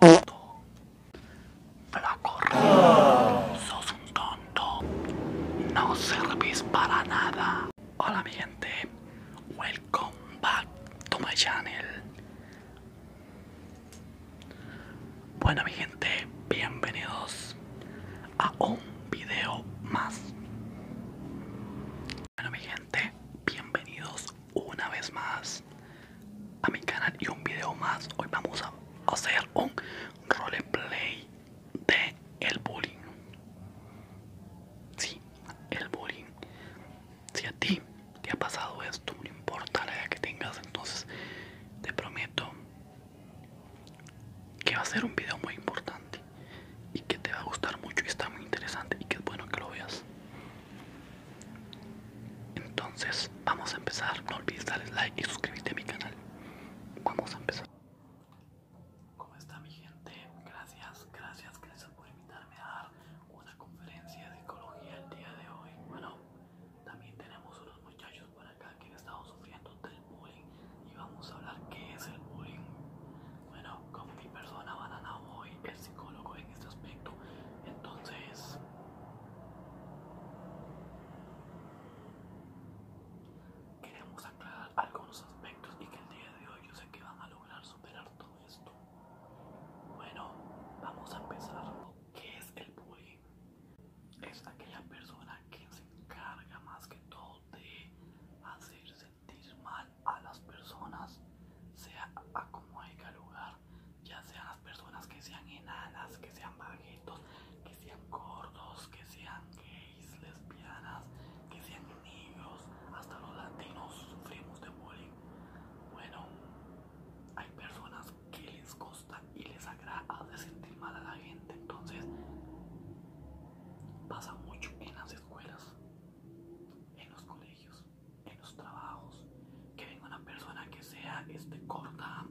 Gordo. Flaco Sos un tonto. No servís para nada. Hola mi gente. Welcome back to my channel. Bueno mi gente, bienvenidos a un video más. Bueno mi gente, bienvenidos una vez más a mi canal y un video más. Hoy vamos a hacer un roleplay de el bullying. si, el bullying. Si a ti te ha pasado esto, no importa la edad que tengas, entonces te prometo que va a ser un video muy importante y que te va a gustar mucho y está muy interesante y que es bueno que lo veas entonces vamos a empezar no olvides darle like y suscribirte a mi canal vamos a empezar ¿Cómo está mi gente? Gracias, gracias, gracias por invitarme a dar una conferencia de ecología el día de hoy. Bueno, también tenemos unos muchachos por acá que han estado sufriendo del bullying y vamos a hablar qué es el bullying, bueno, como mi persona banana voy el psicólogo en este aspecto. Entonces, queremos aclarar algunos aspectos y que el día de hoy yo sé que van a lograr superar todo esto. Bueno, vamos a empezar. ¿Qué es el bullying? Es aquella persona que se encarga más que todo de hacerse mal a las personas, sea a como haya lugar, ya sean las personas que sean enanas, que sean baguetos, que sean gordos, que sean gays, lesbianas, que sean negros, hasta los latinos sufrimos de bullying. Bueno, hay personas que les gusta y les agrada de sentir mal a la gente, entonces pasa mucho en las escuelas, en los colegios, en los trabajos, que venga una persona que sea este, corta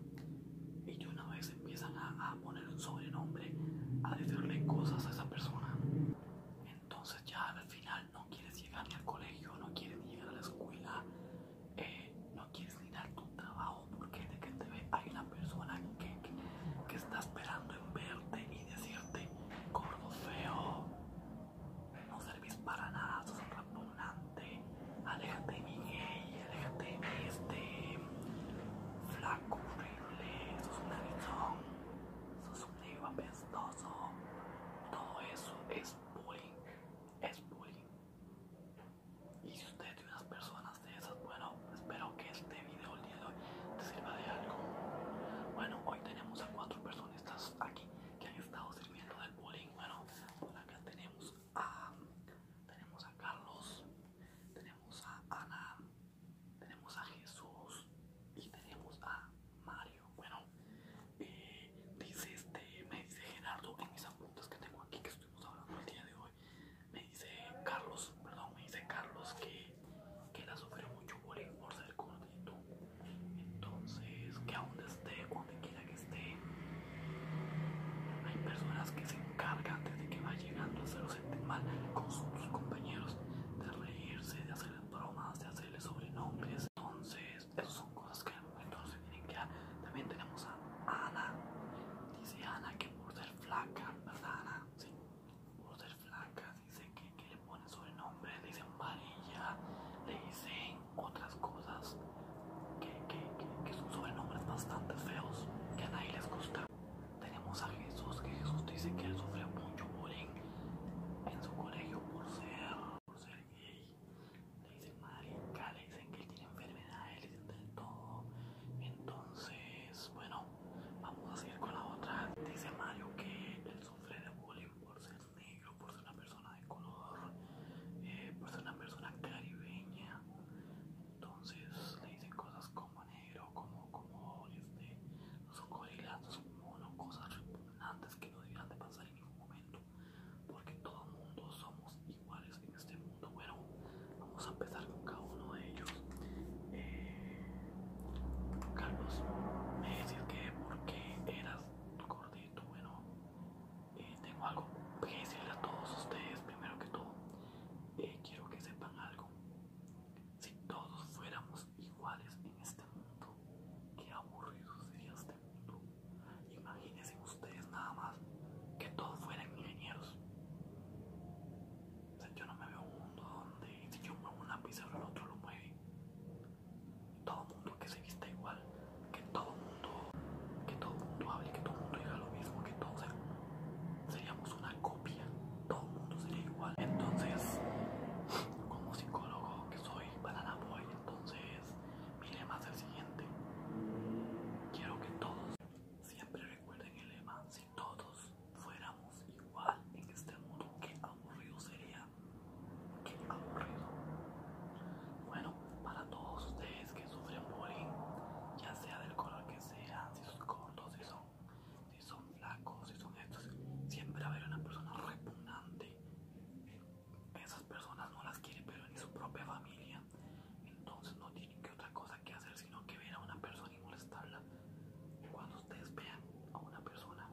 y una vez empiezan a, poner un sobrenombre, a decirle cosas a esa persona. Entonces ya al final no quieres llegar ni al colegio, no quieres ni llegar a la escuela, eh, no quieres ni dar tu trabajo porque de que te ve hay una persona que que está esperando en verte y decirte, gordo feo, no servís para nada, sos un repugnante, aléjate de mi gay, aléjate de este flaco horrible, sos un narizón, sos un negro apestoso, todo eso es bullying, es bullying. Y si usted tiene unas personas bueno, espero que este video el día de hoy te sirva de algo. Bueno, hoy tenemos a cuatro personas aquí que han estado sirviendo del bullying. Bueno, acá tenemos a, tenemos a Carlos, tenemos a Ana, tenemos a Jesús y tenemos a Mario. Bueno, eh, dice este, me dice Gerardo en mis apuntes que tengo aquí que estuvimos hablando el día de hoy. Me dice Carlos, perdón, me dice Carlos que, que la sufrió mucho por ser gordito. Entonces, que aún esté, donde quiera que esté, hay personas que se encargan desde que va llegando a hacerlo sentir mal con sus compañeros, de reírse, de hacerles bromas, de hacerle sobrenombres. Entonces, esas son cosas que Entonces, tienen que ah, También tenemos a Ana, dice Ana que por ser flaca, ¿verdad, Por ser flaca, dice que, le ponen sobrenombre, le dicen varilla, le dicen otras cosas que, son sobrenombres bastante feos que a nadie les gusta. Tenemos a Jesús, que Jesús dice que él sufre mucho bullying en su colegio por por ser gay dice Mario marica, le dicen que él tiene enfermedades, le dicen todo. Entonces, bueno, vamos a seguir con la otra. Dice Mario que él sufre de bullying por ser negro, por ser una persona de color, eh, por ser una persona caribeña. Entonces le dicen cosas como negro, como, como este, los gorilas, son monos, cosas repugnantes que no deberían de pasar en ningún momento porque todo mundo somos iguales en este mundo. Bueno, vamos a empezar con cada uno de ellos. Eh, Carlos, me decís que porque eras gordito. Bueno, eh, tengo algo que decirle a todos ustedes. Primero que todo, eh, quiero que sepan algo. Si todos fuéramos iguales en este mundo, qué aburrido sería este mundo. Imagínense ustedes nada más que todos fueran ingenieros. yo no me veo un mundo donde si yo muevo una lápiz, el otro lo mueve. Todo mundo que se vista igual, que todo mundo, que todo mundo hable, que todo mundo diga lo mismo, que todos seríamos una copia, todo mundo sería igual. Entonces, como psicólogo que soy banana boy, entonces mi lema es el siguiente. Quiero que todos siempre recuerden el lema. Si todos fuéramos igual en este mundo, qué aburrido sería. Qué aburrido. Bueno, para todos ustedes que sufren bullying, ya sea del color que sea, si son cortos, si son, si son flacos, si son estos, siempre habrá una persona repugnante esas personas no las quieren, pero ni su propia familia entonces no tienen que otra cosa que hacer sino que ver a una persona y molestarla cuando ustedes vean a una persona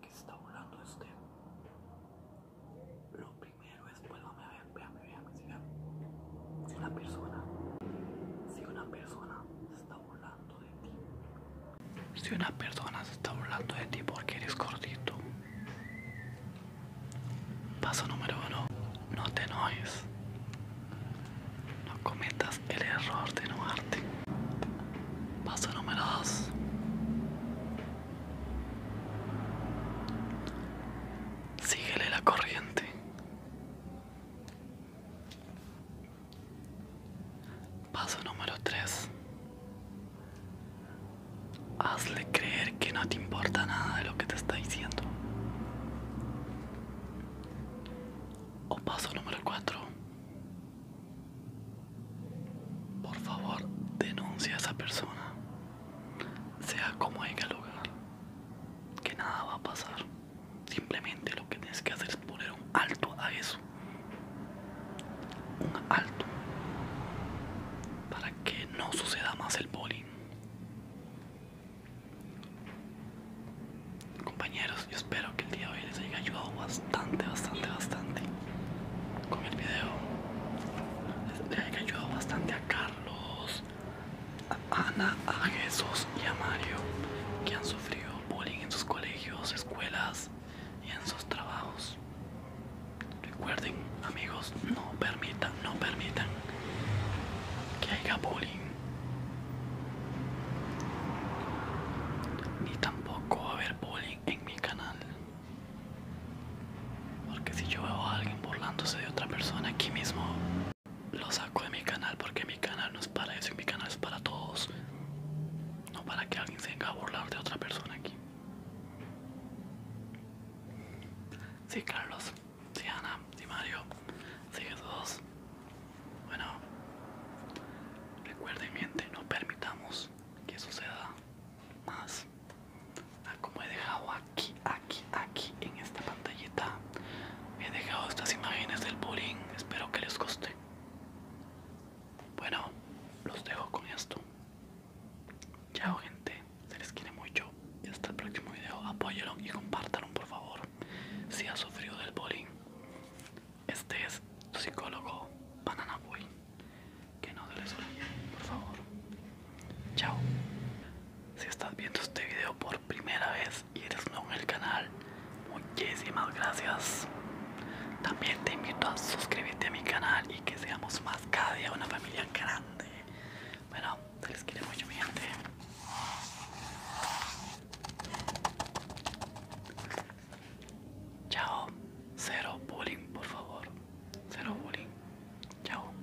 que se está burlando de usted lo primero es vuelvan a ver véame si una persona si una persona se está burlando de ti si una persona se está hablando de ti porque eres gordito. Paso número uno, no te enojes. No cometas el error de enojarte. Paso número dos. Síguele la corriente. Paso número 3. Hazle creer que no te importa nada de lo que te está diciendo. O paso número 4. Por favor, denuncia a esa persona. Sea como el lugar. Que nada va a pasar. Simplemente lo que tienes que hacer es poner un alto a eso un alto para que no suceda más el bullying. Compañeros, yo espero que el día de hoy les haya ayudado bastante, bastante, bastante con el video. Les haya ayudado bastante a Carlos, a Ana, a Jesús y a Mario que han sufrido bullying en sus colegios, escuelas y en sus trabajos. Recuerden, amigos, no permitan, no permitan que haya bullying. Ni tampoco va a haber bullying en mi canal. Porque si yo veo a alguien burlándose de otra persona aquí mismo, lo saco de mi canal porque mi canal no es para eso mi canal es para todos. No para que alguien se venga a burlar de otra persona aquí. Sí, Carlos. Sí, Ana. Sí, Mario. Sí, todos Bueno. Recuerden, miente, no permitamos que suceda más. Ah, como he dejado aquí, aquí, aquí en esta pantallita, he dejado estas imágenes del bullying. Espero que les guste. Bueno, los dejo con esto. Chao gente, se les quiere mucho y hasta el próximo video. Apóyenlo y compártanlo por favor. Si ha sufrido del bolín, este es tu psicólogo Banana Boy. Que no se les olvide, por favor. Chao. Si estás viendo este video por primera vez, y eres nuevo en el canal, muchísimas gracias. También te invito a suscribirte a mi canal y que seamos más cada día una familia grande. Bueno, se les quiere mucho mi gente. Chao, cero bullying, por favor. Cero bullying. Chao.